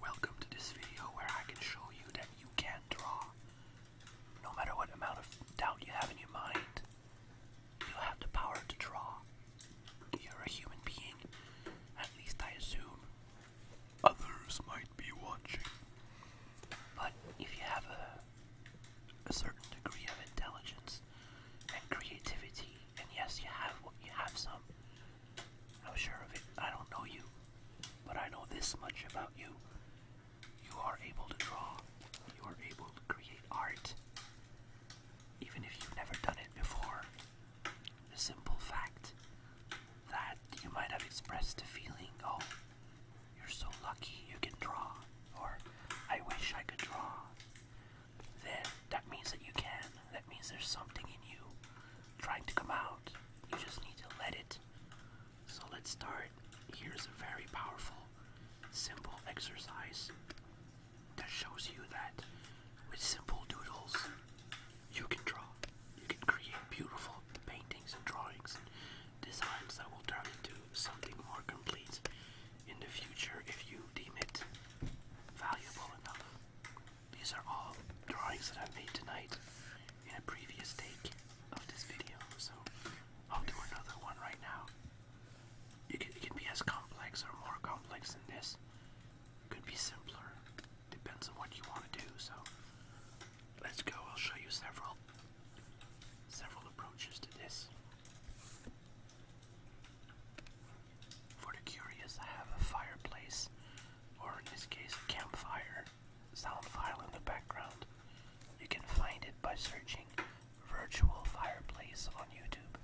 Welcome to this video where I can show you that you can draw. No matter what amount of doubt you have in your mind, you have the power to draw. You're a human being, at least I assume. Others might be watching. But if you have a, certain degree of intelligence and creativity, and yes, you have you have some, I'm sure of it. I don't know you, but I know this much about you. You are able to draw, you are able to create art. Even if you've never done it before, the simple fact that you might have expressed a feeling, oh, you're so lucky you can draw, or I wish I could draw, then that means that you can. That means there's something in you trying to come out. You just need to let it. So let's start. Here's a very powerful, simple exercise that shows you that with simple doodles, you can draw. You can create beautiful paintings and drawings and designs that will turn into something more complete in the future if you deem it valuable enough. These are all drawings that i made tonight in a previous take of this video, so I'll do another one right now. it can be as complex or more complex than this. It could be simpler. Depends on what you want to do, so let's go. I'll show you several several approaches to this. For the curious, I have a fireplace, or in this case, campfire sound file in the background. You can find it by searching Virtual Fireplace on YouTube.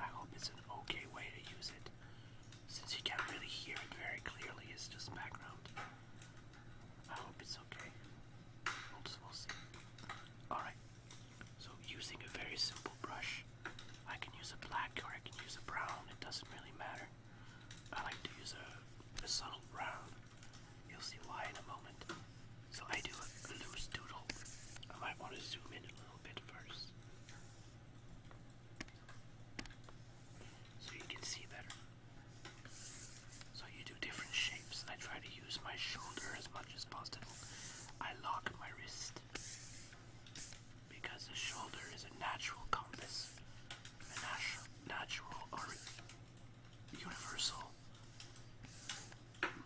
I hope it's an okay way to use it, since you can't really hear it very clearly, it's just background. I hope it's okay. We'll, just, we'll see. Alright, so, using a very simple brush, I can use a black or I can use a brown, it doesn't really matter. I like to use a, a subtle brown. You'll see why in a moment. So, I do a loose doodle. I might want to zoom in a little bit first. So you can see better. So you do different shapes, I try to use my shoulder as much as possible. I lock my wrist because the shoulder is a natural compass, a natu natural or universal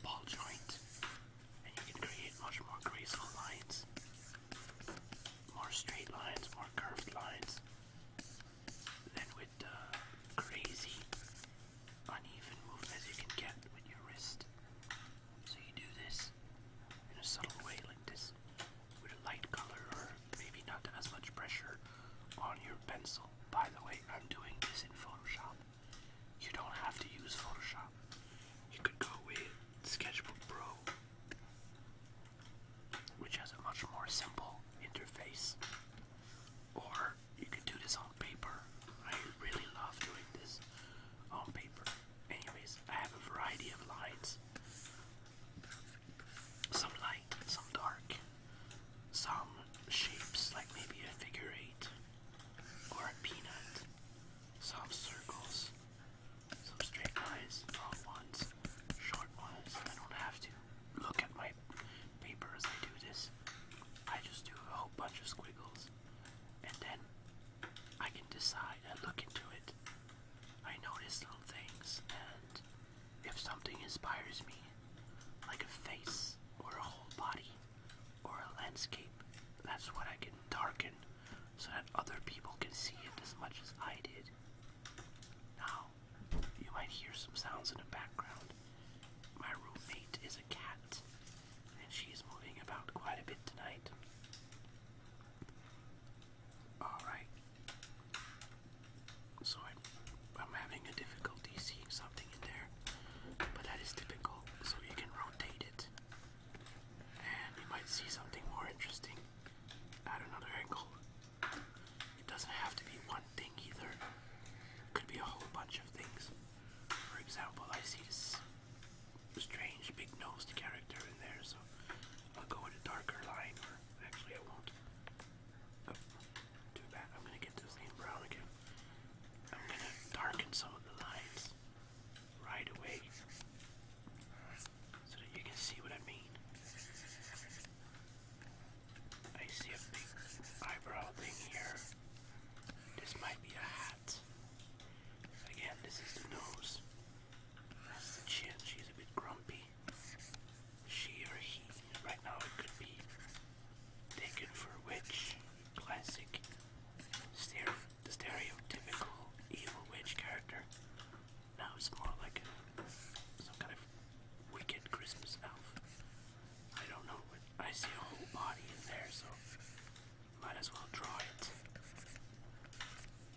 ball joint, and you can create much more graceful lines, more straight lines, more curved lines than with the crazy uneven as you can get with your wrist. So you do this in a subtle way like this with a light color or maybe not as much pressure on your pencil. By the way, I'm doing this in Photoshop. You don't have to use Photoshop. You could go with Sketchbook Pro, which has a much more simple interface. Or you could do this on paper. I really love doing this on paper. Anyways, I have a variety of lights. Some light, some dark, some shapes like maybe a figure eight or a peanut, some circles, some straight lines, long ones, short ones. I don't have to look at my paper as I do this. I just do a whole bunch of squiggles and then I can decide. I look into it. I notice little things, and if something inspires me, like a face or a whole body or a landscape, that's what I can darken so that other people can see it as much as I did. Now, you might hear some sounds in the background. My roommate is a cat, and she's moving about quite a bit tonight. Alright. So I'm, having a difficulty seeing something in there, but that is typical. So you can rotate it, and you might see something more interesting at another angle. It doesn't have to be one thing either. could be a whole bunch of things. For example, I see this strange big nosed character in there, so I'll go with a darker line, or actually I won't. Oh, too I'm gonna get this name brown again. I'm gonna darken some of the lines right away so that you can see what I mean. I see a big eyebrow thing here. This might be a hat. Again, this is the nose. That's the chin. She's a bit grumpy. She or he. Right now, it could be taken for a witch. Classic, the stereotypical evil witch character. Now it's more like a, some kind of wicked Christmas elf. I don't know, but I see a whole body in there, so might as well draw it.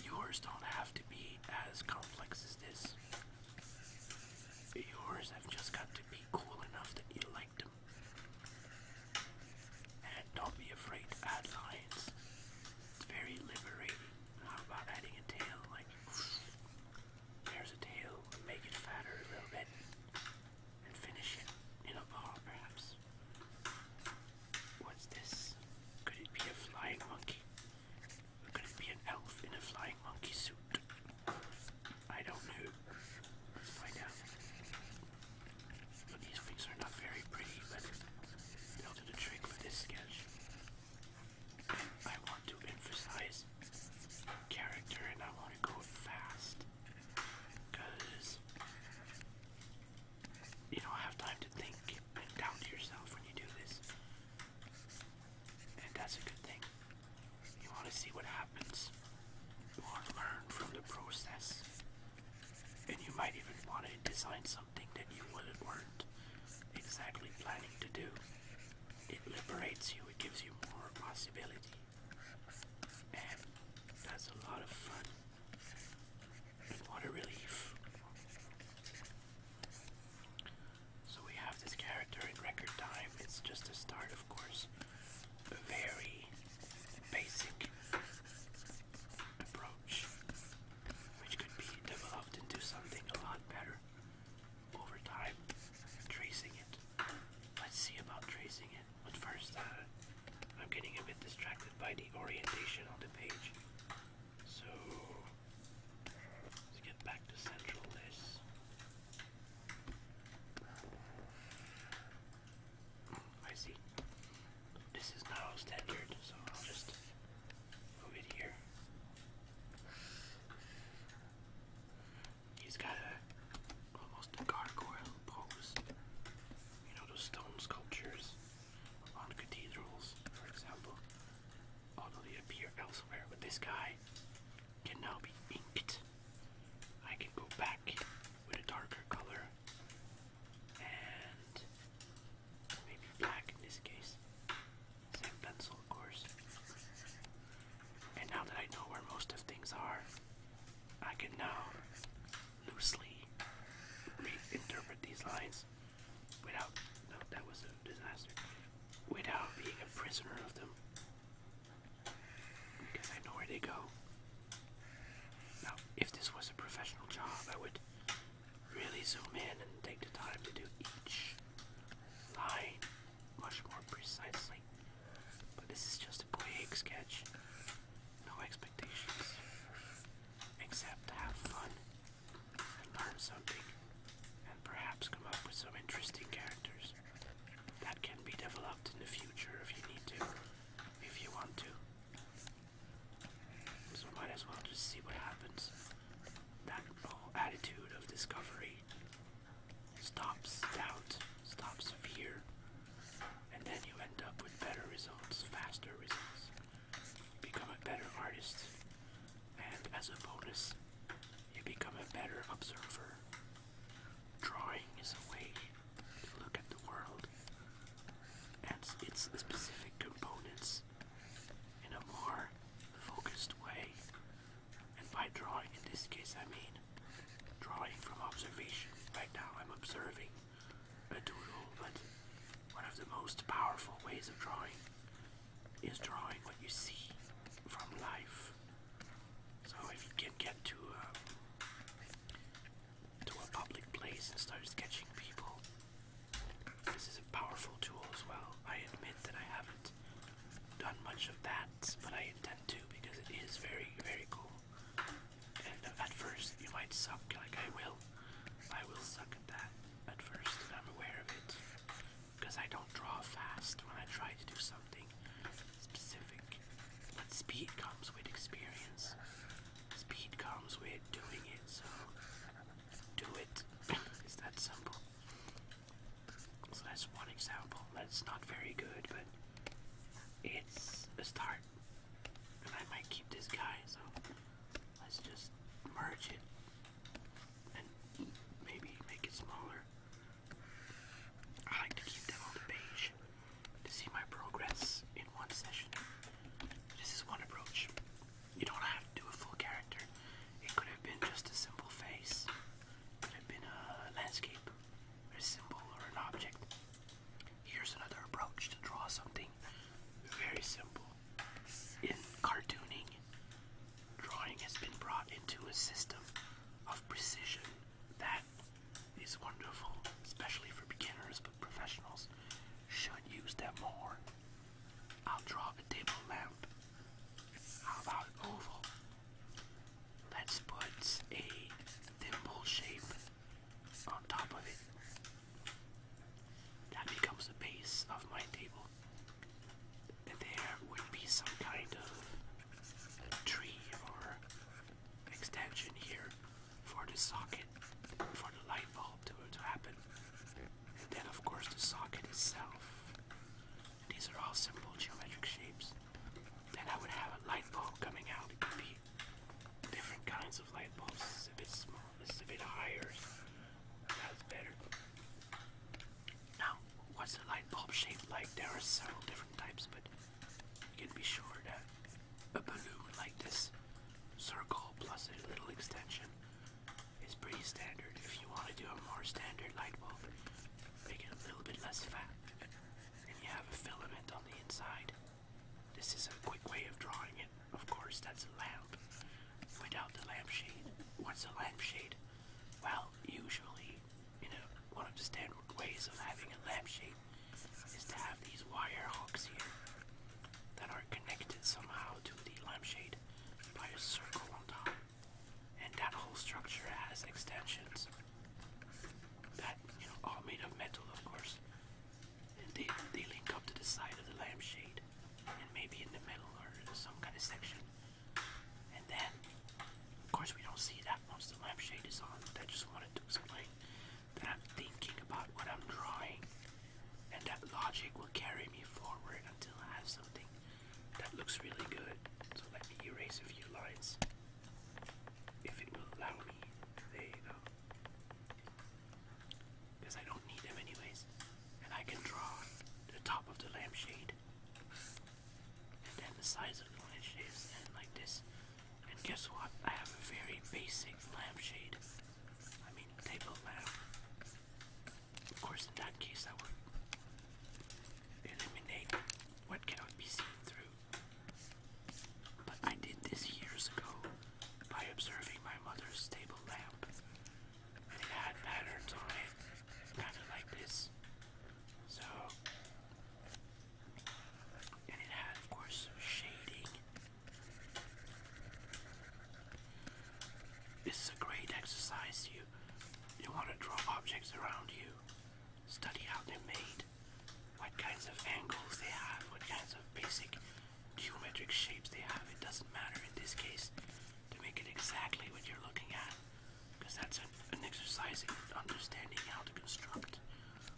Yours don't have to be as complex as this. Yours have just got to be cool enough that you like them. And don't be afraid to add lines. It's very liberating. How about adding a tail? Like, there's a tail, make it fatter a little bit and finish it in a ball, perhaps. What's this? Could it be a flying monkey? could it be an elf in a flying monkey suit? I don't know. Let's these things are not very pretty, but they'll do the trick for this sketch. I want to emphasize character and I want to go fast. Because you don't have time to think and down yourself when you do this. And that's a good thing. You want to see what happens. You want to learn from the process. And you might even want to design something that you wouldn't weren't exactly planning to do. It liberates you, it gives you more possibility that's a lot of fun. What relief. So we have this character in record time. It's just a start, of course. A very basic approach, which could be developed into something a lot better over time. Tracing it. Let's see about tracing it on first, uh, I'm getting a bit distracted by the orientation on the page. So, let's get back to central this. I see. This is now standard, so I'll just move it here. He's got almost a gargoyle pose you know, those stone sculptures on cathedrals, for example, although they appear elsewhere. But this guy can now be inked. I can go back with a darker color and maybe black in this case. Same pencil, of course. And now that I know where most of things are, I can now loosely reinterpret these lines without no, that was a disaster. Without being a prisoner of them. Because I know where they go. Now, if this was a professional job, I would really zoom in and take the time to do each line much more precisely. But this is just a quick sketch no expectations, except have fun learn something, and perhaps come up with some interesting characters that can be developed in the future if you need to, if you want to. So might as well just see what happens. That attitude of discovery stops doubt, stops fear, and then you end up with better results, faster results. become a better artist, and as a bonus, you become a better observer. Drawing is a way to look at the world and its specific components in a more focused way. And by drawing, in this case, I mean drawing from observation. Right now, I'm observing a doodle, but one of the most powerful ways of drawing is drawing what you see from life. So if you can get to a, um, to a public place and start sketching people, this is a powerful tool as well. I admit that I haven't done much of that, but I intend to because it is very, very cool. And at first, you might suck like I will. I will suck at that at first, and I'm aware of it. Because I don't draw fast when I try to do something specific. But speed comes with experience. Speed comes with doing it, so do it. it's that simple. So that's one example. That's not very good, but it's a start. And I might keep this guy, so let's just merge it and maybe make it smaller. I like to keep them on the page to see my progress in one session. This is one approach. You don't have to do a full character. It could have been just a simple face. could have been a landscape a symbol or an object. Here's another approach to draw something very simple. In cartooning, drawing has been brought into a system of precision that is wonderful, especially for beginners, but professionals should use them more. I'll draw a table lamp. How about an oval? Let's put a thimble shape on top of it. That becomes the base of my table. And there would be some kind of tree or extension here for the socket, for the light bulb to, happen. And then, of course, the socket itself. These are all simple geometric shapes. Then I would have a light bulb coming out different kinds of light bulbs. This is a bit smaller. this is a bit higher. That's better. Now, what's a light bulb shaped like? There are several different types, but you can be sure that a balloon like this circle plus a little extension is pretty standard. If you want to do a more standard light bulb, make it a little bit less fat, and you have a filament on the inside. This is a quick way of drawing it. Of course, that's a lamp without the lampshade. What's a lampshade? Well, usually, you know, one of the standard ways of having a lampshade is to have these wire hooks here that are connected somehow to the lampshade by a circle on top. And that whole structure has extensions that, you know, all made of metal, of course, and they, they link up to the side of the lampshade and maybe in the middle or some kind of section. And then, of course, we don't see that once the lampshade is on, but I just wanted to explain that I'm thinking about what I'm drawing and that logic will carry me forward until I have something that looks really good. So let me erase a few lines if it will allow me. to do go. Because I don't need them anyways. And I can draw the top of the lampshade. And then the sides of the lampshades and like this. And guess what? I have a very basic lampshade. I mean table lamp. Of course in that case I would eliminate what cannot be seen through but I did this years ago by observing my mother's table lamp. It had patterns on it, kind of like this. So, and it had, of course, shading. This is a great exercise. You you want to draw objects around you, study how they're made, what kinds of angles they have, what kinds of basic geometric shapes they have. It doesn't matter in this case to make it exactly what you're looking at because that's an, exercise in understanding how to construct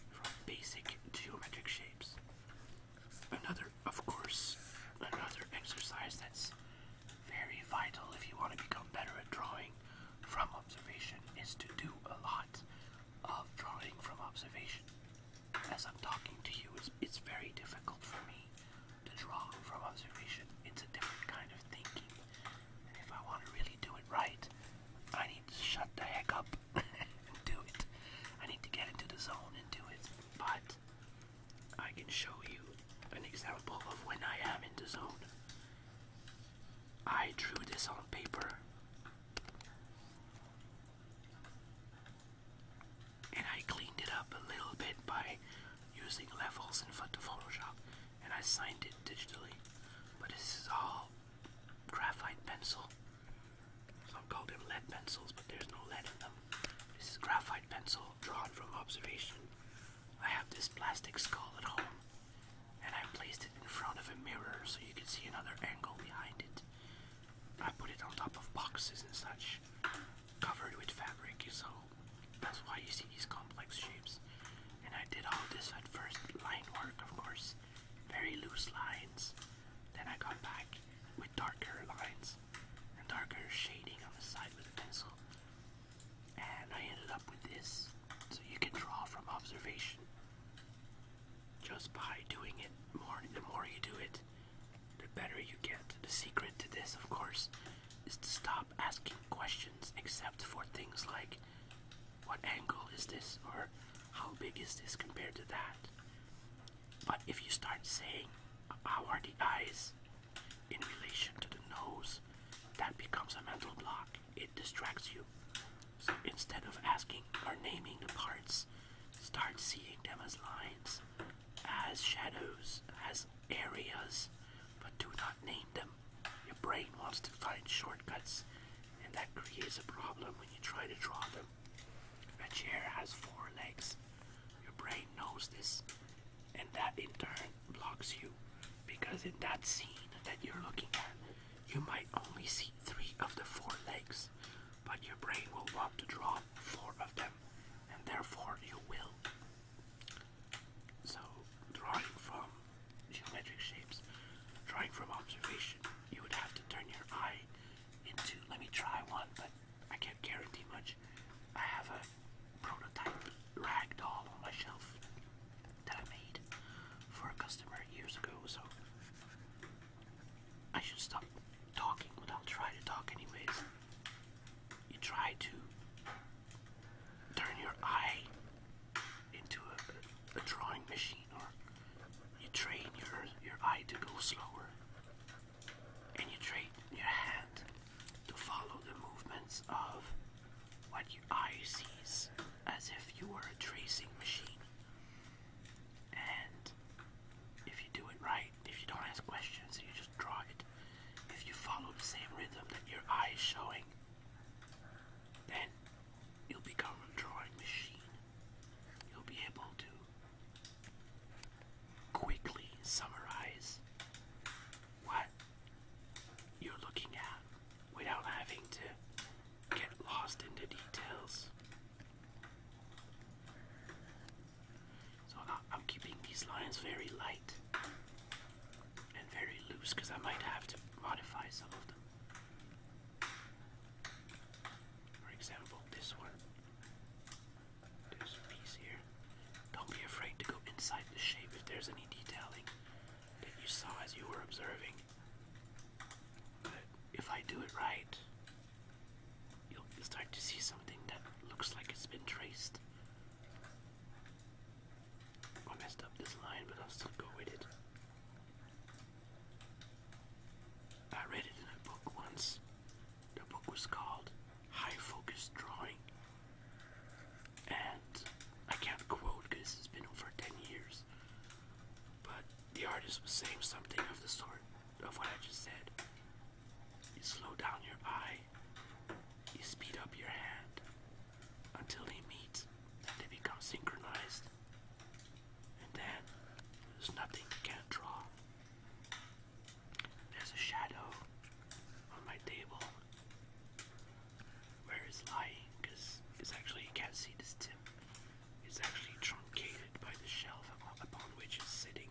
from basic geometric shapes. Another, of course, another exercise that's very vital if you want to become better at drawing from observation is to do a lot of drawing from observation. As I'm talking to you, it's, it's very difficult for me to draw from observation. It's a different kind of thinking. And if I want to really do it right, I need to shut the heck up and do it. I need to get into the zone and do it. But I can show you an example of when I am in the zone. I drew this on paper. And I cleaned it up a little bit by using levels in Photoshop and I signed it digitally. But this is all graphite pencil. Some call them lead pencils, but there's no lead in them. This is graphite pencil drawn from observation. I have this plastic skull at home and I placed it in front of a mirror so you could see another angle behind it. I put it on top of boxes and such, covered with fabric, so that's why you see these complex shapes. And I did all this at first, line work of course, very loose lines. Then I got back with darker lines and darker shading on the side with a pencil. And I ended up with this, so you can draw from observation just by doing it more the more you do it the better you get the secret to this of course is to stop asking questions except for things like what angle is this or how big is this compared to that but if you start saying how are the eyes in relation to the nose that becomes a mental block it distracts you so instead of asking or naming the parts, start seeing them as lines, as shadows, as areas, but do not name them. Your brain wants to find shortcuts, and that creates a problem when you try to draw them. A chair has four legs. Your brain knows this, and that in turn blocks you because in that scene that you're looking at, you might only see three of the four legs, but your brain will want to draw four of them, and therefore you will. So, drawing from geometric shapes, drawing from observation, you would have to turn your eye into. Let me try one, but I can't guarantee much. I have a prototype rag doll on my shelf that I made for a customer years ago, so I should stop talking, but I'll try to talk anyways. You try to turn your eye into a, drawing machine, or you train your your eye to go slower, and you train your hand to follow the movements of what your eye sees, as if you were a tracing machine. And if you do it right, if you don't ask questions and you just draw it, if you follow the same rhythm that your eye is showing, then you'll become a drawing machine. You'll be able to quickly summarize what you're looking at without having to get lost in the details. So I'm keeping these lines very light and very loose because I might have to modify some of them. For example, this one. There's a piece here. Don't be afraid to go inside the shape if there's any detailing that you saw as you were observing if I do it right, you'll start to see something that looks like it's been traced. I messed up this line, but I'll still go with it. I read it in a book once. The book was called High Focus Drawing. And I can't quote because it's been over 10 years. But the artist was saying something of the sort of what I just said. You slow down your eye, you speed up your hand until they meet and they become synchronized. And then there's nothing you can't draw. There's a shadow on my table where it's lying because it's actually you can't see this tip is actually truncated by the shelf upon which it's sitting.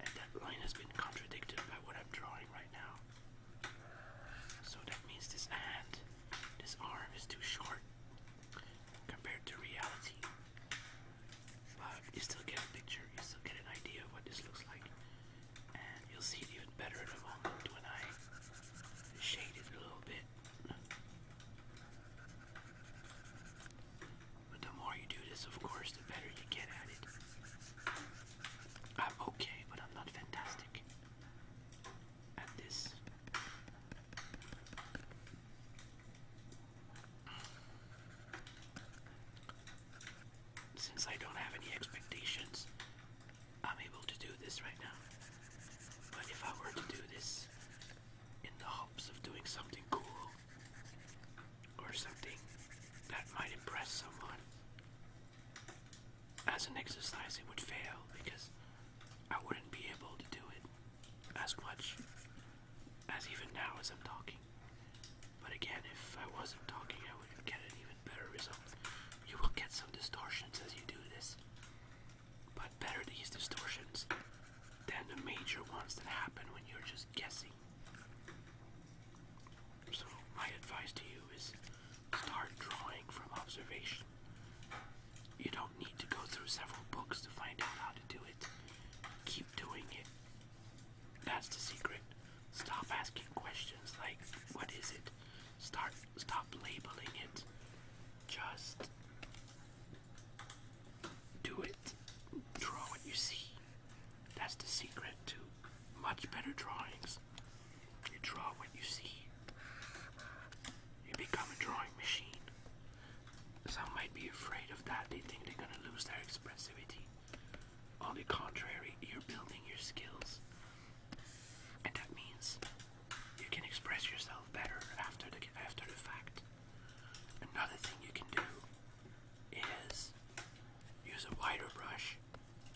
And that line has been contradicted by what I'm drawing right now. So that means this hand, this arm is too short compared to reality. But you still get a picture, you still get an idea of what this looks like. And you'll see it even better in a moment an eye, shade it a little bit the more you do this, of course, the better you get at it. I'm okay, but I'm not fantastic at this. Since I don't have any expectations, I'm able to do this right now. But if I were to do this in the hopes of doing something cool or something that might impress someone, as an exercise, it would fail because I wouldn't be able to do it as much as even now as I'm talking. But again, if I wasn't talking, I would get an even better result. You will get some distortions as you do this but better these distortions than the major ones that happen when you're just guessing. So, my advice to you is start drawing from observation. You don't need to go through several books to find out how to do it. Keep doing it. That's the secret. Stop asking questions like, what is it? Start Stop labeling it. Just do it. Draw what you see. That's the secret to much better drawings. You draw what you see. You become a drawing machine. Some might be afraid of that. They think they're gonna lose their expressivity. On the contrary, you're building your skills. And that means you can express yourself better after the after the fact. Another thing you can do is use a wider brush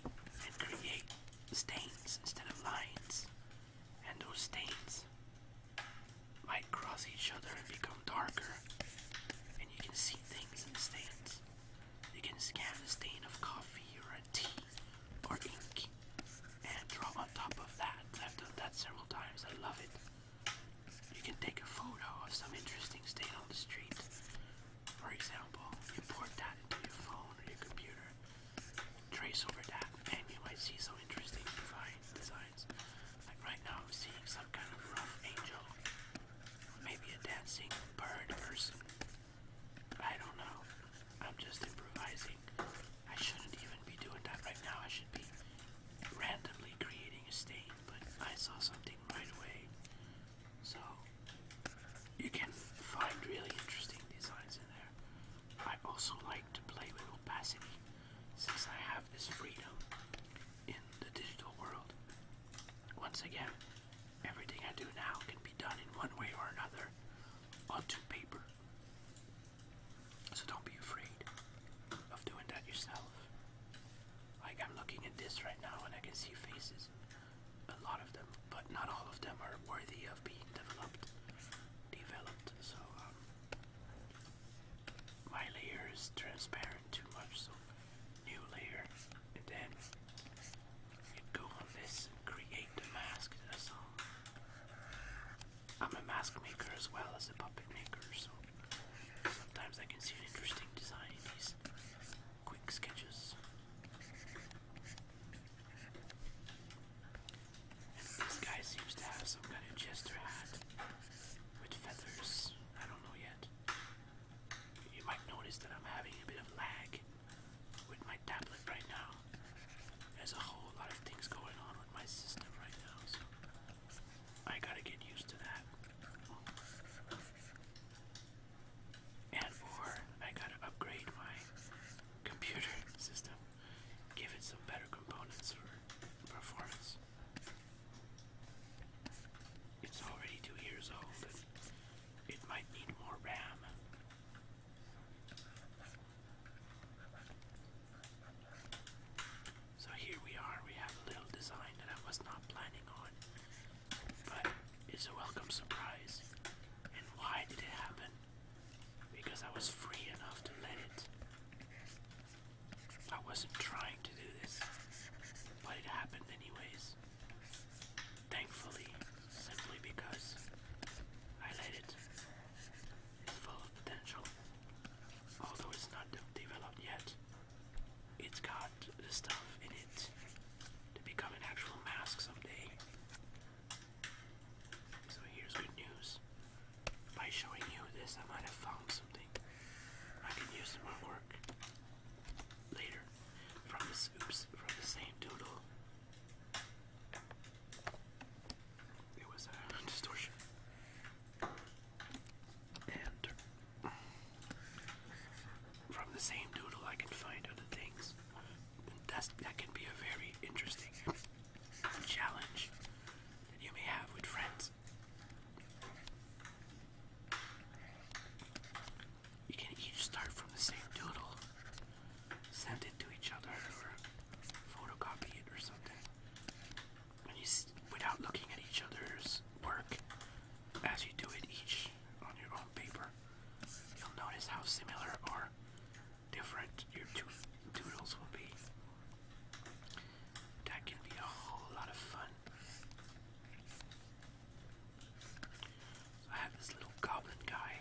and create stains instead of lines. And those stains might cross each other and become darker. And you can see things in stains. You can scan a stain of coffee or a tea or ink and draw on top of that. I've done that several times. I love it. You can take a photo of some interesting stain on the street. For example, import that into your phone or your computer, trace over that, and you might see some interesting designs. Like right now, I'm seeing some kind of angel, maybe a dancing bird person. I don't know. I'm just improvising. I shouldn't even be doing that right now. I should be randomly creating a stain, but I saw something right away. So you can find really interesting designs in there. I also like to play with opacity since I have this freedom in the digital world. Once again, everything I do now can be done in one way or another onto paper. So don't be afraid of doing that yourself. Like I'm looking at this right now and I can see faces. A lot of them, but not all of them are worthy of being developed. Developed. So um, my layer is transparent too much. So new layer, and then go on this create the mask. That's all. I'm a mask maker as well as a puppet maker, so sometimes I can see an interesting design in these quick sketches. this guy seems to have some kind of jester hat with feathers. I don't know yet. You might notice that I'm having a bit of lag with my tablet right now there's a whole lot of things going on with my system right now, so I gotta get used to that. And for I gotta upgrade my computer system, give it some better components for performance. It's already two years old, and it might need more RAM. So here we are, we have a little design that I was not planning on, but it's a welcome surprise. And why did it happen? Because I was free enough to let it. I wasn't trying to do this, but it happened anyways. Thankfully, simply because I let it its full potential. Although it's not developed yet, it's got the stuff in it to become an actual mask someday. So here's good news. By showing you this, I might have found something I can use in work later from this oops from the same doodle it was a distortion. And from the same doodle, I can find other things. That's, that can be a very interesting challenge that you may have with friends. You can each start from the same doodle send it to each other or photocopy it or something. When you, without looking at each other's work, as you do it each on your own paper, you'll notice how similar or different your two doodles will be. That can be a whole lot of fun. I have this little goblin guy.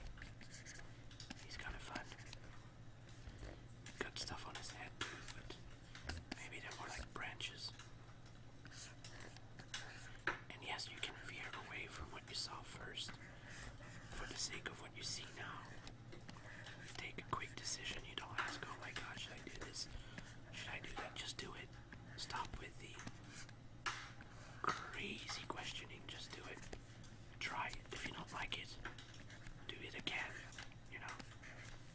He's kind of fun. Got stuff on his head, too, but maybe they're more like branches. And yes, you can veer away from what you saw first for the sake of what you see now. Take a quick decision. You don't ask, oh my god, should I do this? Should I do that? Just do it. Stop with the crazy questioning. Just do it. Try If you don't like it, do it again. You know,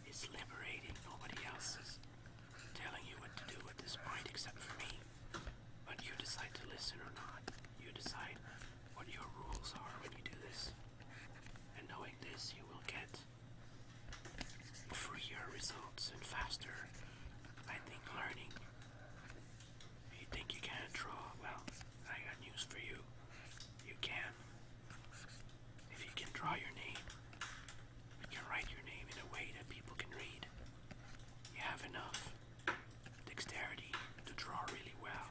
it's liberating. Nobody else is telling you what to do at this point except for me. But you decide to listen or not. You decide what your rules are when you do this. And knowing this, you will get freer results and faster, I think, learning you think you can't draw? Well, I got news for you. You can. If you can draw your name, you can write your name in a way that people can read. You have enough dexterity to draw really well.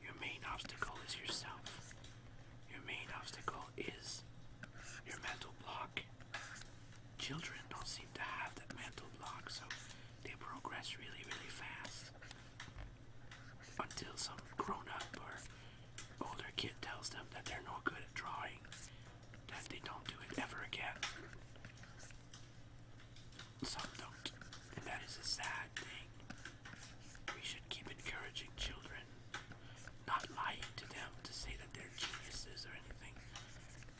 Your main obstacle is yourself. Your main obstacle is your mental block. Children don't seem to have that mental block, so they progress really, really fast until some grown up or older kid tells them that they're no good at drawing, that they don't do it ever again. Some don't, and that is a sad thing. We should keep encouraging children, not lying to them to say that they're geniuses or anything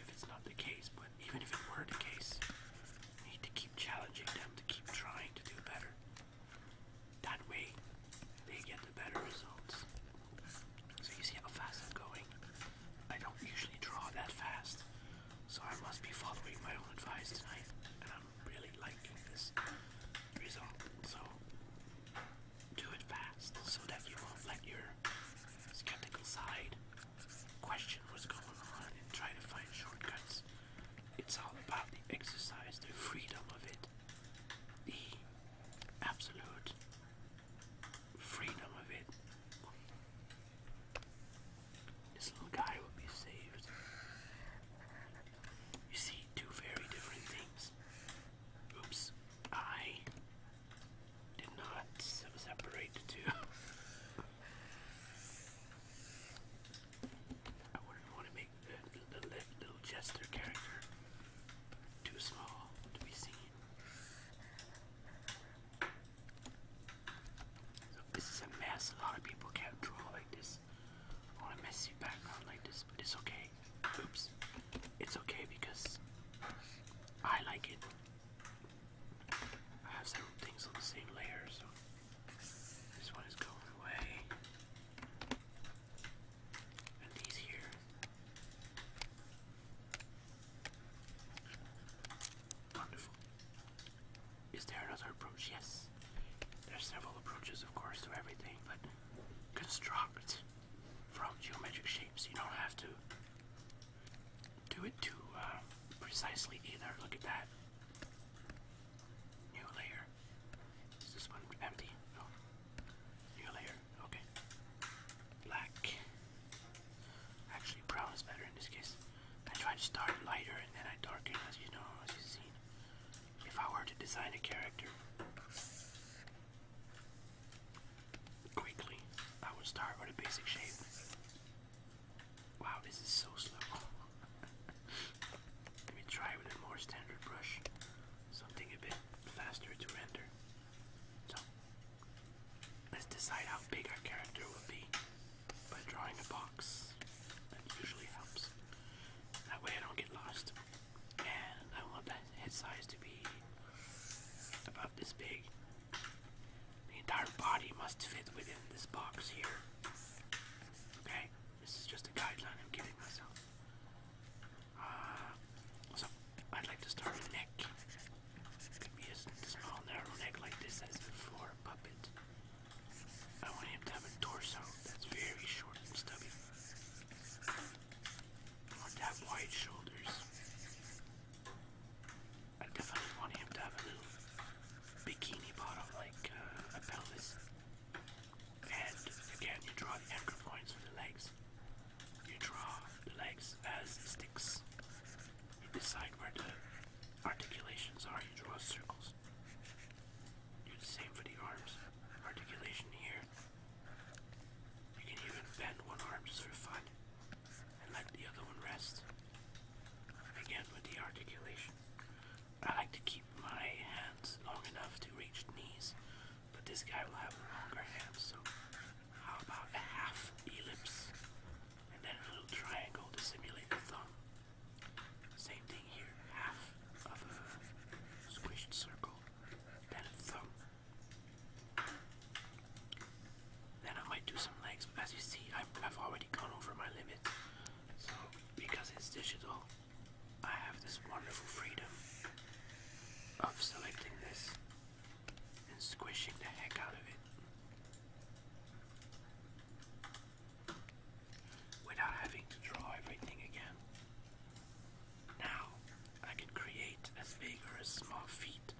if it's not the case, but even if it were the case, need to keep challenging them to keep trying to do better. That way, they get the better results. So you see how fast I'm going? I don't usually draw that fast, so I must be following my own advice tonight, and I'm really liking this result. So do it fast so that you won't let your skeptical side question what's going on and try to find shortcuts. It's all about the exercise, the freedom of it, the absolute freedom of it. This little guy will be saved. You see two very different things. Oops, I did not separate the two. I wouldn't want to make the, little jester character too small to be seen. So this is a mess. A lot of people can't like this on a messy background like this, but it's okay. Oops. It's okay because I like it. I have several things on the same layer, so this one is going away. And these here. Wonderful. Is there another approach? Yes. There's several approaches, of course, to everything, but construct from geometric shapes. You don't have to do it too uh, precisely either. Look at that. New layer. Is this one empty? No. New layer. Okay. Black. Actually, brown is better in this case. I try to start lighter and then I darken, as you know, as you've seen. If I were to design a character quickly, I would start with a basic shape. Wow, this is so slow. Let me try with a more standard brush, something a bit faster to render. So, let's decide how big our character will be by drawing a box. That usually helps. That way I don't get lost. And I want that head size to be about this big. The entire body must fit within this box here. Okay? This is just a guideline I'm giving myself. Uh, so, I'd like to start with neck. It could be a small, narrow neck like this as for puppet. I want him to have a torso that's very short and stubby. I want to have wide shoulders. I definitely want him to have a little bikini bottom like uh, a pelvis. And again, you draw the anchor points for the legs. You draw the legs as sticks. You decide where the articulations are, you draw circles. Do the same for the arms. Articulation here. You can even bend one arm just for fun and let the other one rest. Again with the articulation. I like to keep my hands long enough to reach knees, but this guy will have longer hands, so how about a half ellipse and then a little triangle to simulate the thumb? Same thing here, half of a squished circle, then a thumb. Then I might do some legs, but as you see, I've, I've already gone over my limit, so, because it's digital, I have this wonderful freedom of selecting this and squishing the heck out of it without having to draw everything again. Now, I can create as big or as small feet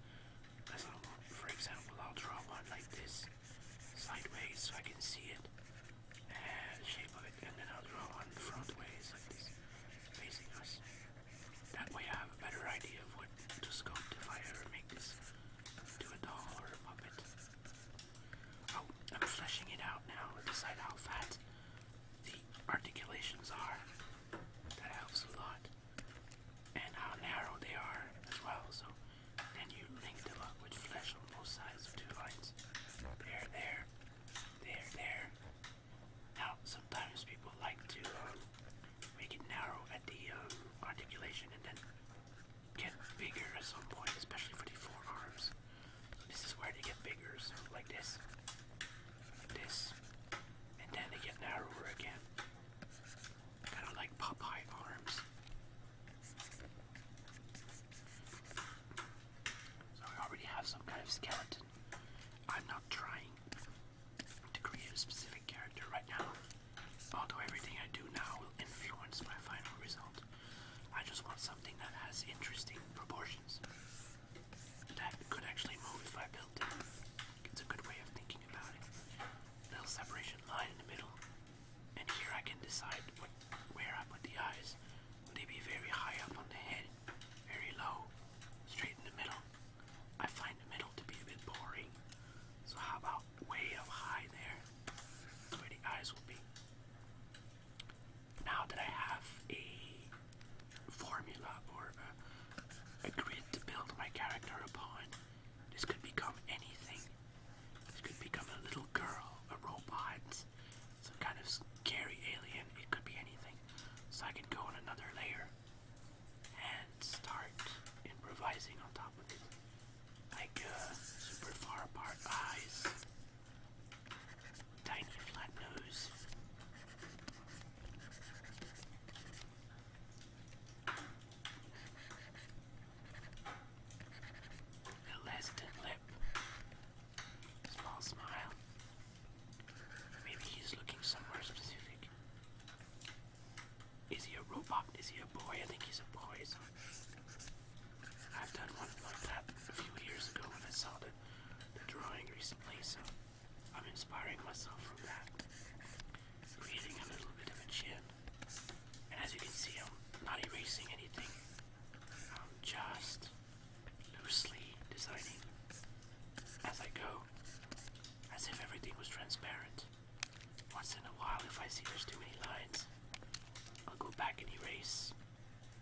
as I want. For example, I'll draw one like this sideways so I can see it, uh, shape of it, and then I'll draw one front ways like this, facing us. That way I have a better idea of what to sculpt if I ever make this into a doll or a puppet. Oh, I'm fleshing it out now to decide how fat the articulations are. That helps a lot. And how narrow they are as well, so and you linked them up with flesh on both sides of two lines. There, there, there, there. Now, sometimes people like to um, make it narrow at the um, articulation and then get bigger at some point, especially for the forearms. So this is where they get bigger, so like this, like this, and then they get narrower again. I do like Popeye arms. So I already have some kind of skeleton. I'm not trying to create a specific character right now. Although everything I do now will influence my final result. I just want something that has interesting proportions. That could actually move if I built it. It's a good way of thinking about it. Little separation line in the middle and here I can decide where I put the eyes. Will they be very high up on the head, very low, straight in the middle? I find the middle to be a bit boring, so how about way up high there, where the eyes will be? Now that I have a formula or a grid to build my character upon, this could become anything. This could become a little girl, a robot, some kind of scary alien. It could be anything. So I can go on another layer and start improvising on top of it. Like uh, super far apart eyes, tiny flat nose a less-than lip, small smile. Maybe he's looking somewhere specific. Is he a robot? Is he a boy? I think he's a boy. So I've done one like that a few years ago when I saw the drawing recently, so I'm inspiring myself from that. Creating a little bit of a chin. And as you can see, I'm not erasing anything. I'm just loosely designing as I go, as if everything was transparent. Once in a while, if I see there's too many lines, I'll go back and erase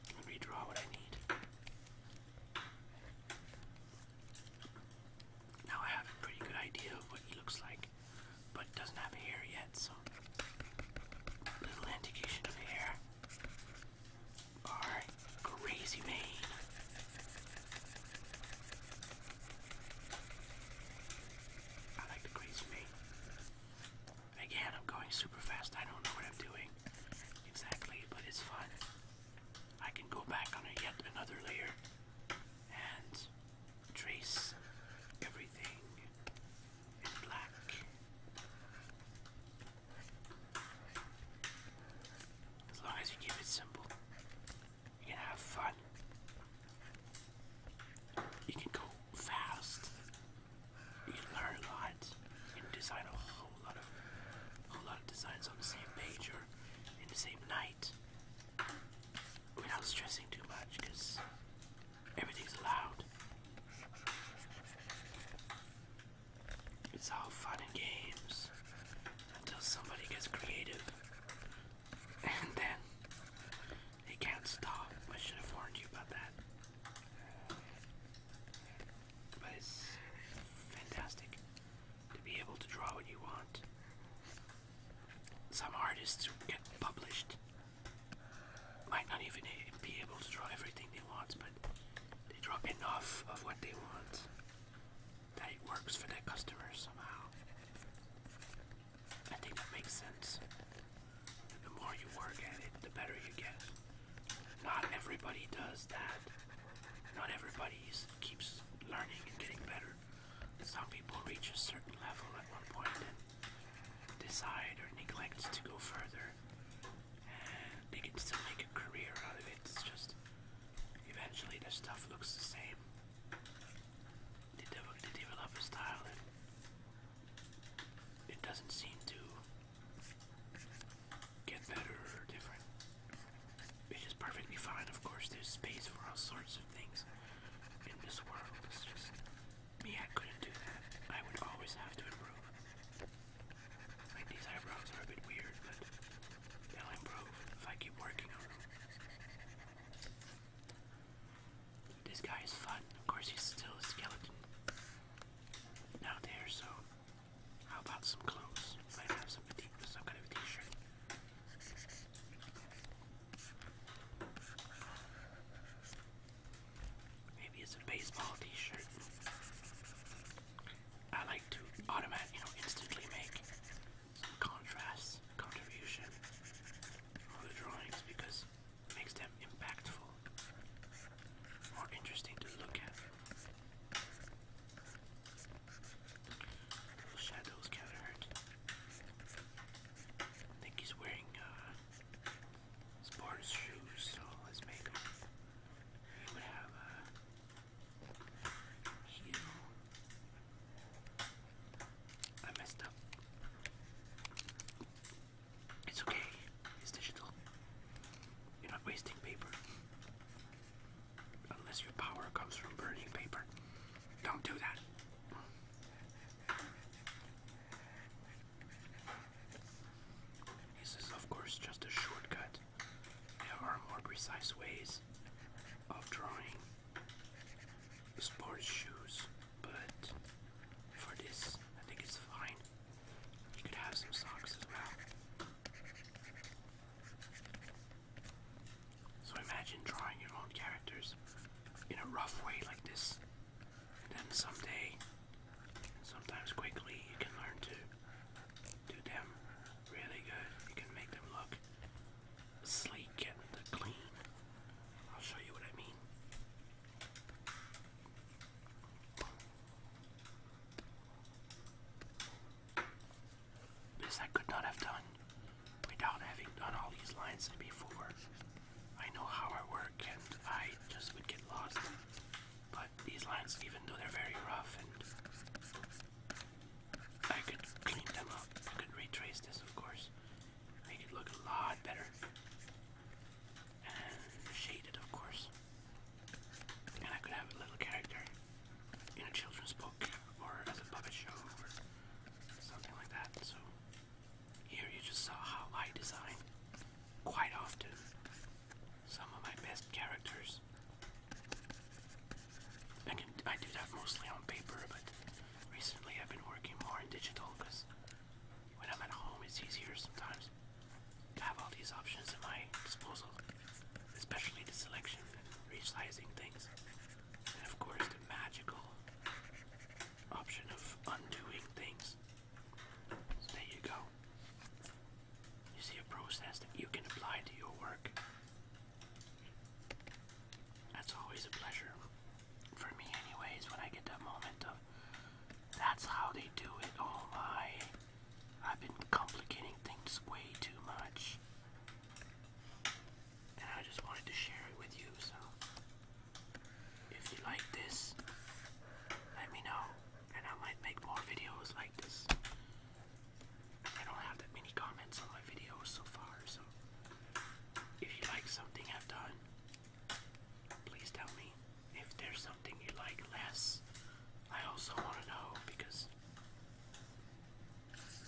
and redraw what I need. Now I have a pretty good idea of what he looks like but it doesn't have hair yet, so little indication of hair. Alright, crazy mane. I like the crazy mane. Again, I'm going super fast. I don't know what I'm doing exactly, but it's fun. I can go back on yet another layer and trace everything in black. As long as you keep it simple, you can have fun. You can go fast. You can learn a lot. You can design a whole lot of a whole lot of designs on the same page or in the same night without stressing too much because Everything's allowed. It's all fun and games until somebody gets creative. And then they can't stop. I should have warned you about that. But it's fantastic to be able to draw what you want. Some artists get published might not even be able to draw everything they want, but they draw enough of what they want that it works for their customers somehow. I think that makes sense. The more you work at it, the better you get. Not everybody does that. Not everybody keeps learning and getting better. Some people reach a certain level at one point and decide or neglect to go further. And they can still make a career out of it. It's just eventually the stuff looks the same. They, develop a style and it doesn't seem to get better or different. Which is perfectly fine, of course. There's space for all sorts of things in this world. It's just me, I couldn't do that. I would always have to improve. Like these eyebrows are a bit weird, but they'll improve if I keep working on them. This guy is fun. Of course, he's still a skeleton. Now there, so how about some clothes? I have some, some kind of t-shirt. Maybe it's a baseball t-shirt. I like to automatic, you know, instantly make some contrast contribution for the drawings because makes them impactful, more interesting to look at. Those shadows can hurt. I think he's wearing uh, sports shoes, so let He would have a uh, heel. I messed up. It's okay. It's digital. You're not wasting paper. Unless your power comes from burning paper. Don't do that. This is, of course, just a shortcut. There are more precise ways of drawing sports shoes, but for this, I think it's fine. You could have some socks as well. So imagine drawing your own characters in a rough way like this. And then someday, sometimes quickly, you can learn to do them really good. You can make them look sleek and clean. I'll show you what I mean. This I could not have done without having done all these lines before. I know how I work and I just would get lost. But these lines, even though they're very rough and I could clean them up, I could retrace this of course, make it look a lot better. And shaded of course. And I could have a little character in a children's book or as a puppet show or something like that. So here you just saw how I design quite often some of my best characters. I, do that mostly on paper, but recently I've been working more in digital because when I'm at home it's easier sometimes to have all these options at my disposal, especially the selection and resizing things, and of course the magical option of undoing things. there you go. You see a process that you can apply to your work. That's always a pleasure. For me anyways, when I get that moment of that's how they do it. Oh my. I've been complicating things way too much and I just wanted to share it with you. So, if you like this, let me know, and I might make more videos like this. I don't have that many comments on my videos so far, so if you like something I've done, please tell me. If there's something you like less, I also want to know because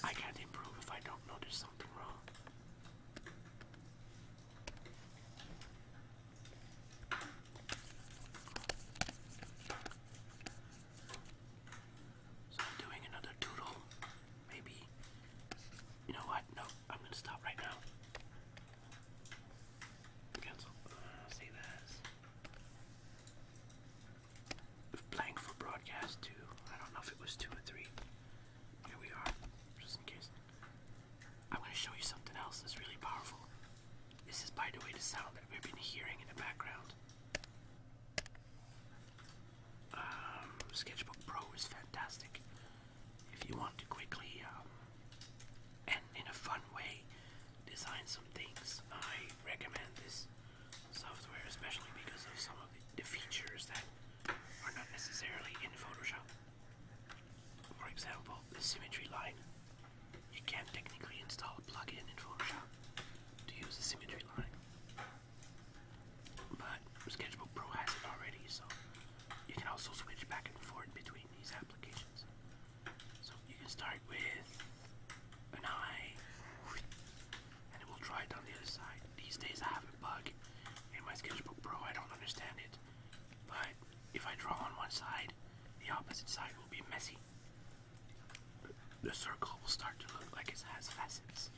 I can't improve if I don't know there's something wrong. So I'm doing another doodle. Maybe you know what? No, I'm gonna stop right now. Cancel. Uh, save as. Blank for broadcast two. I don't know if it was two or three. Here we are, just in case. I'm going to show you something else that's really powerful. This is, by the way, the sound that we've been hearing in the background. Um, Sketchbook Pro is fantastic. If you want to quickly um, and in a fun way design some things, I recommend this software, especially because of some the, features that are not necessarily in Photoshop. For example, the symmetry line. You can not technically install a plugin in Photoshop to use the symmetry line. But Sketchbook Pro has it already, so you can also switch back and forth between these applications. So you can start with an eye, and it will draw it on the other side. These days I have a bug in my Sketchbook Pro, I don't understand it. But if I draw on one side, the opposite side will be messy. The circle will start to look like it has facets.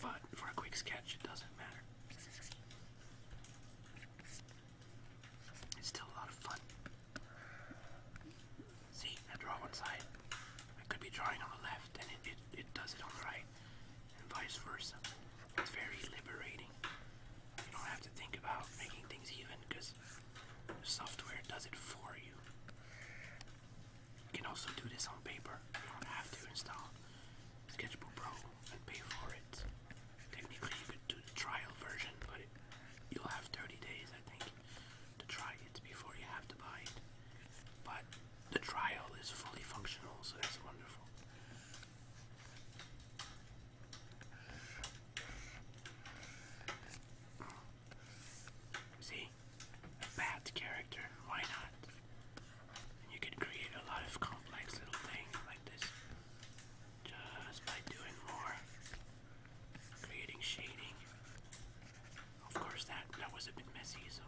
But for a quick sketch, it doesn't matter. It's still a lot of fun. See, I draw one side. I could be drawing on the left and it, it, it does it on the right and vice versa. It's very liberating. You don't have to think about making things even because the software does it for you. You can also do this on paper. You don't have to install Sketchbook Pro and pay for it. Technically, you could do the trial version, but you'll have 30 days, I think, to try it before you have to buy it. But the trial is fully functional, so that's wonderful. See? A bat character, why not? you can create a lot of complex little things like this just by doing more. Creating shading. Of course that that was a bit messy, so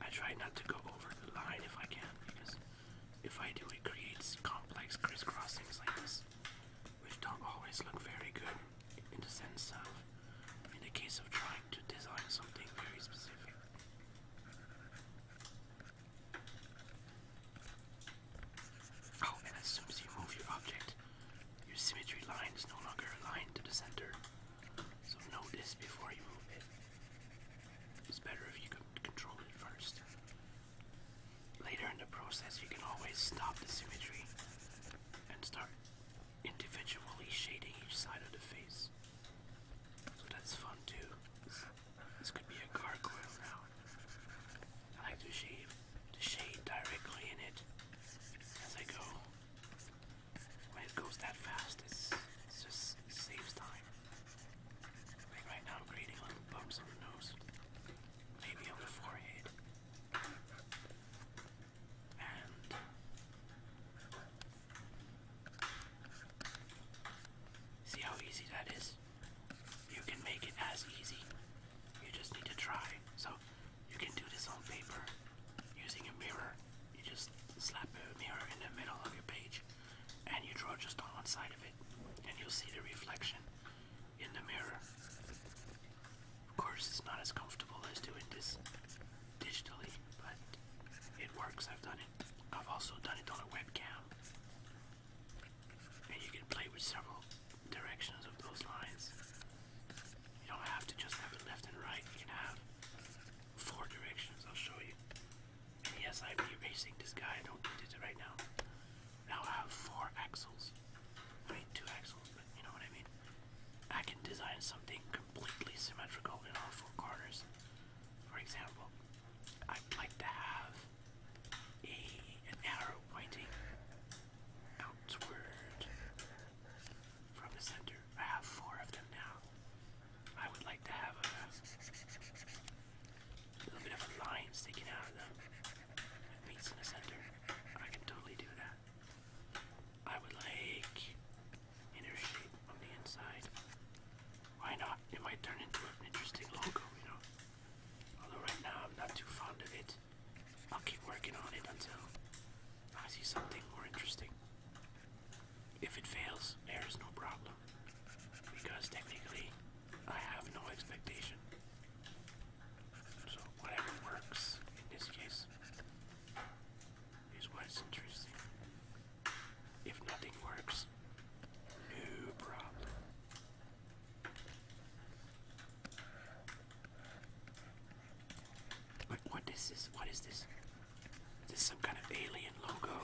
I try not to go over the line if I can, because if I do, it creates complex crisscrossings like this, which don't always look very good in the sense of, in the case of trying to design something very specific. Oh, and as soon as you move your object, your symmetry line is no longer aligned to the center. So know this before you move it. It's better if you can control it first. Later in the process, you can always stop the symmetry and start individually shading each side of the face. So that's fun too. This, could be a car coil now. I like to shade, to shade directly in it as I go when it goes that fast, it's, just saves time. Like right now, creating little bumps on the nose, maybe on the forehead, and see how easy that is. You can make it as easy. You just need to try. So you can do this on paper using a mirror. You just slap a mirror in the middle of your page and you draw just on one side of it and you'll see the reflection in the mirror. Of course it's not as comfortable as doing this digitally, but it works. I've done it. I've also done it on a webcam. And you can play with several directions of those lines. You don't have to just have it left and right. You can have four directions. I'll show you. yes, I'm erasing this guy. I don't need it right now. Now I have four axles. I mean, two axles, but you know what I mean. I can design something completely symmetrical in all four corners. For example, I'd like to have a arrow pointing outward from the center. I have four of them now. I would like to have a, little bit of a line sticking out of them. in the center. I can totally do that. I would like inner on the inside. Why not? It might turn into an interesting logo, you know. Although right now I'm not too fond of it. I'll keep working on it until I see something more interesting. If it fails, there is no problem. Because technically, I have no expectation. So whatever works in this case is what's interesting. If nothing works, no problem. What, what is this? What is this? Is this some kind of alien logo?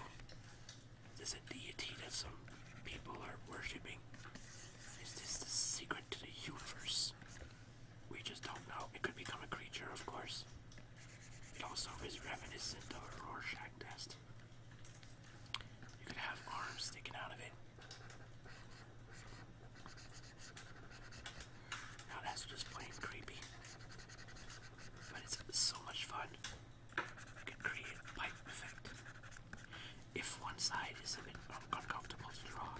Is this a deity that some people are worshipping? Is this the secret to the universe? We just don't know. It could become a creature, of course. It also is reminiscent of a Rorschach test. You could have arms sticking out of it. Now that's just plain creepy. But it's so much fun. You can create pipe effect. If one side is a bit uncomfortable to draw,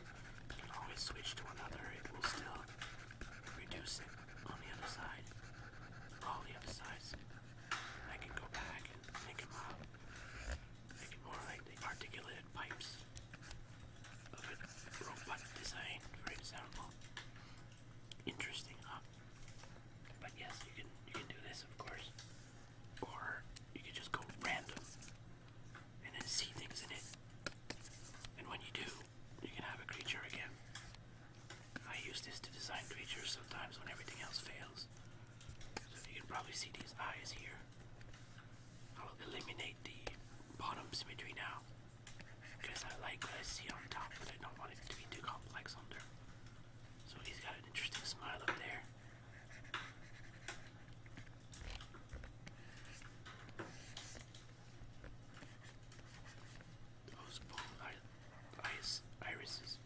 you can always switch to another. It will still reduce it on the other side. All the other sides. I can go back and make them out. Uh, make it more like the articulated pipes of a wrong design, for example. Interesting, huh? But yes, you can you can do this, of course, or you can just go random and then see things in it. And when you do, you can have a creature again. I use this to design creatures sometimes when everything else fails. So you can probably see these eyes here. I'll eliminate the bottom symmetry now because I like what I see on top, but I don't want it to be too complex under. So he's got an interesting smile up there. Those both irises,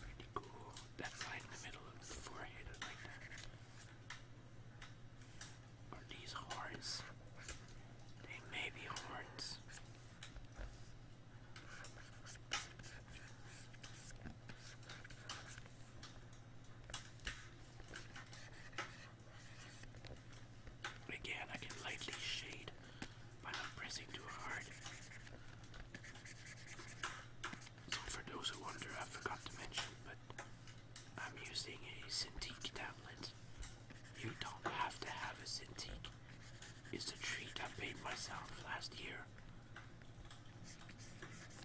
pretty cool. That line in the middle of the forehead, like that. Are these horns? They may be horns. Again, I can lightly shade by not pressing too hard. for those who wonder, I forgot to mention, but I'm using a Cintiq tablet. You don't have to have a Cintiq. It's a treat I made myself last year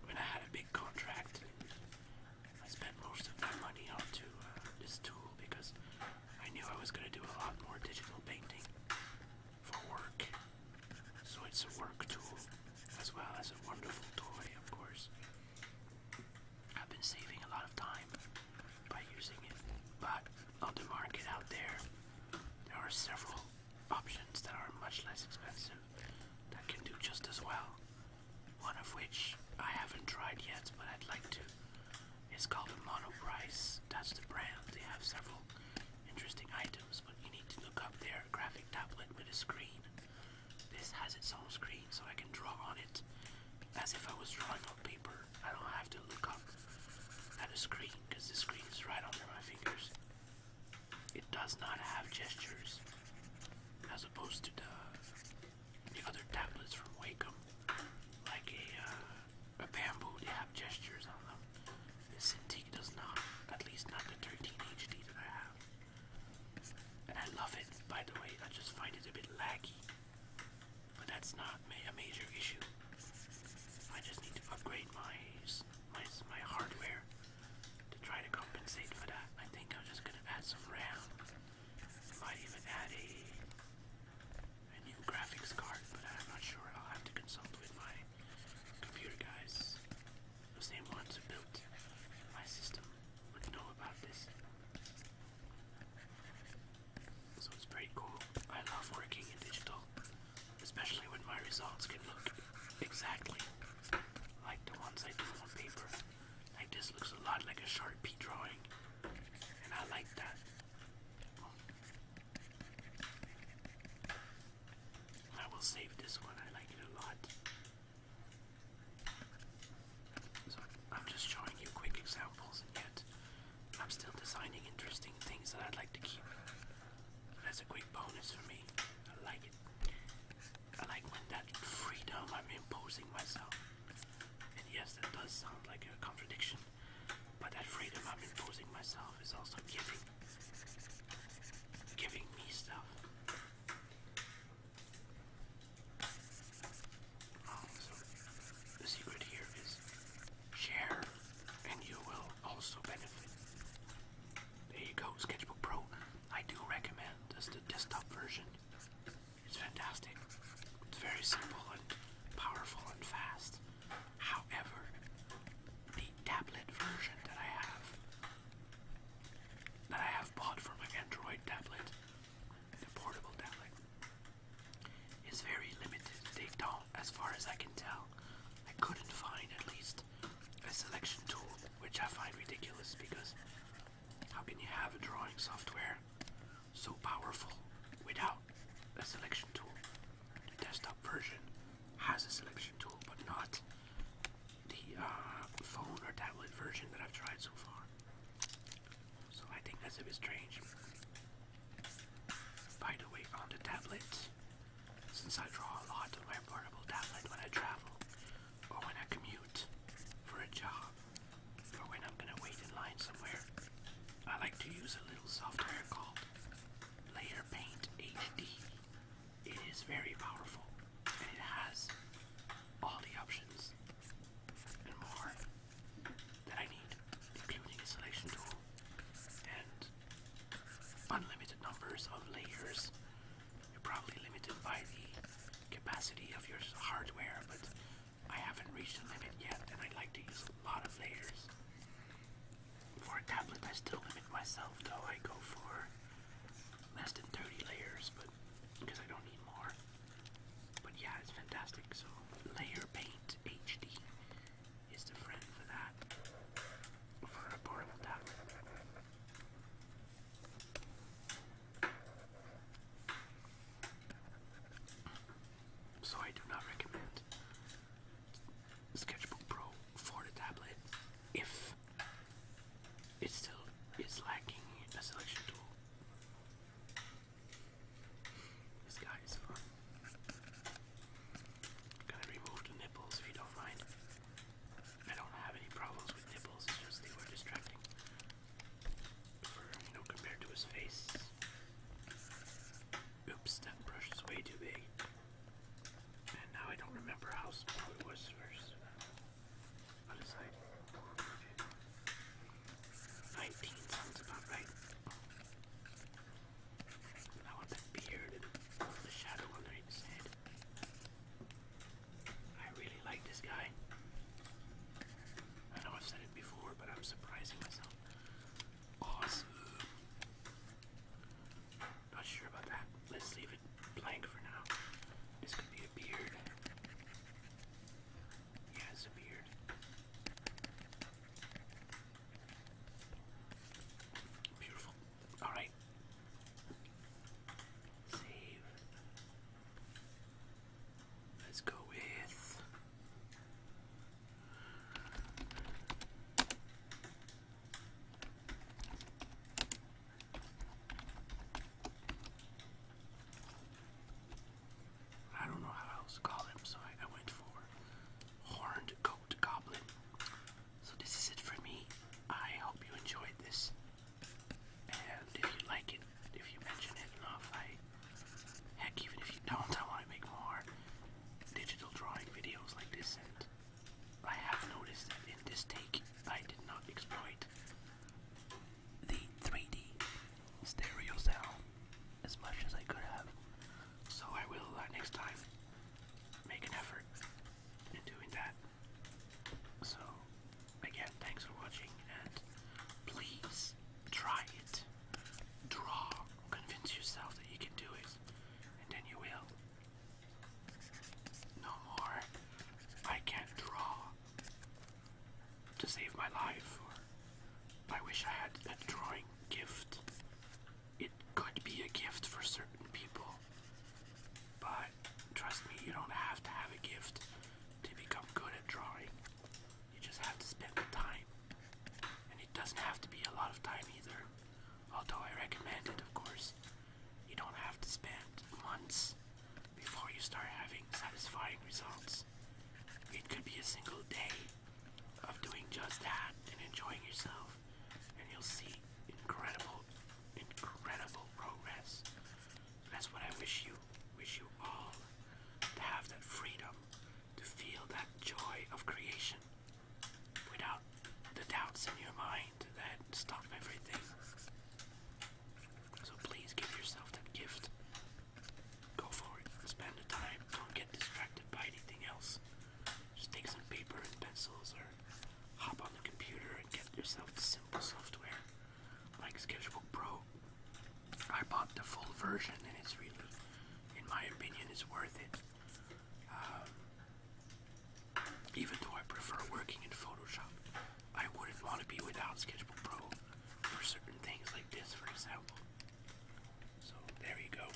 when I had a big contract. I spent most of my money onto uh, this tool because I knew I was going to do a lot more digital painting for work. So it's a work tool as well as a wonderful toy, of course. I've been saving a lot of time by using it, but on the market out there, there are several options that are much less expensive that can do just as well. One of which I haven't tried yet, but I'd like to. It's called a Monoprice. That's the brand. They have several interesting items, but you need to look up their graphic tablet with a screen this has its own screen so I can draw on it as if I was drawing on paper. I don't have to look up at a screen because the screen is right under my fingers. It does not have gestures as opposed to the, other tablets from Wacom. Like a, uh, a bamboo, they have gestures on them. This Cintiq does not, at least not the 13 HD that I have. And I love it, by the way, I just find it a bit laggy. But that's not a major issue. I just need to upgrade my, my, my hardware to try to compensate for that. I think I'm just gonna add some RAM. Might even add a, a new graphics card, but I'm not sure. I'll have to consult with my computer guys. Those same ones who built my system would know about this. So it's pretty cool. I love working in digital, especially when my results can look exactly like the ones I do on paper. Like this looks a lot like a Sharpie drawing, and I like that. I will save this one, I like it a lot. I'm just showing you quick examples, and yet I'm still designing interesting things that I'd like to keep. that's a great bonus for me. I like it. I like when that freedom I'm imposing myself. And yes, that does sound like a contradiction, but that freedom I'm imposing myself is also giving, giving me stuff the secret here is share, and you will also benefit. There you go, Sketchbook Pro. I do recommend this the desktop version. It's fantastic. It's very simple and powerful and fast. However, the tablet version that I have, that I have bought for my Android tablet, in portable tablet is very limited. They don't, as far as I can tell, I couldn't find at least a selection tool, which I find ridiculous because how can you have a drawing software so powerful without a selection tool? The desktop version has a selection tool, but not the uh, phone or tablet version that I've tried so far. So I think that's a bit strange. By the way, on the tablet, since I draw a lot on my portable tablet when I travel, or when I commute for a job, or when I'm gonna wait in line somewhere, I like to use a little software called Layer Paint HD. It is very powerful and it has all the options and more that I need, including installation tool and unlimited numbers of layers. You're probably limited by the capacity of your hardware, but I haven't reached the limit yet, and I like to use a lot of layers. For a tablet, I still limit myself, though I go for less than 30 layers, but because I don't need more. But yeah, it's fantastic. So Layer Paint HD is the friend for that, for a portable tablet. So I do not recommend Sketchbook Pro for the tablet if it still is lacking a selection tool. This guy is fun. gonna remove the nipples you don't mind. I don't have any problems with nipples, it's just they were distracting. you know, compared to his face. Oops, that brush is way too big. And now I don't remember how small it was first. 19 sounds about right. I want that beard and the shadow under his head. I really like this guy. I know I've said it before, but I'm surprising myself. Awesome. Not sure about that. Let's leave it blank for now. This could be a beard. He has a beard. Beautiful. Alright. Save. Let's go with. I don't know how else to call him, so I, went for Horned Goat Goblin. So this is it for me. I hope you enjoyed this. And if you like it, if you mention it enough, I heck even if you don't, I want to make more digital drawing videos like this and I have noticed that in this take I did not exploit the 3D stereo sound as much as I could have. So I will uh, next time make an effort in doing that. So again, thanks for watching and please try it. Draw, convince yourself that you can do it, and then you will. No more, I can't draw to save my life, I wish I had that drawing gift. It could be a gift for certain people, but trust me, you don't have to have a gift to become good at drawing. You just have to spend the time, and it doesn't have to be a lot of time either. Although I recommend it, of course. You don't have to spend months before you start having satisfying results. It could be a single day of doing just that and enjoying yourself, and you'll see incredible, incredible progress. That's what I wish you, wish you all to have that freedom, to feel that joy of creation without the doubts in your mind that stop everything. So please give yourself that gift. Go for it. Spend the time. Don't get distracted by anything else. Just take some paper and pencils or hop on the computer and get yourself simple software like Sketchbook Pro. I bought the full version and it's really, in my opinion, it's worth it. Um, even though I prefer working in Photoshop, I wouldn't want to be without Sketchbook Pro for certain things like this, for example. So there you go.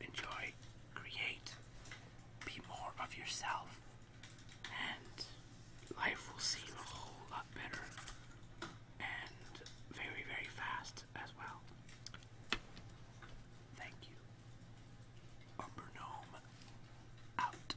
Enjoy, create, be more of yourself, and life will seem a whole lot better and very, very fast as well. Thank you. Upper out.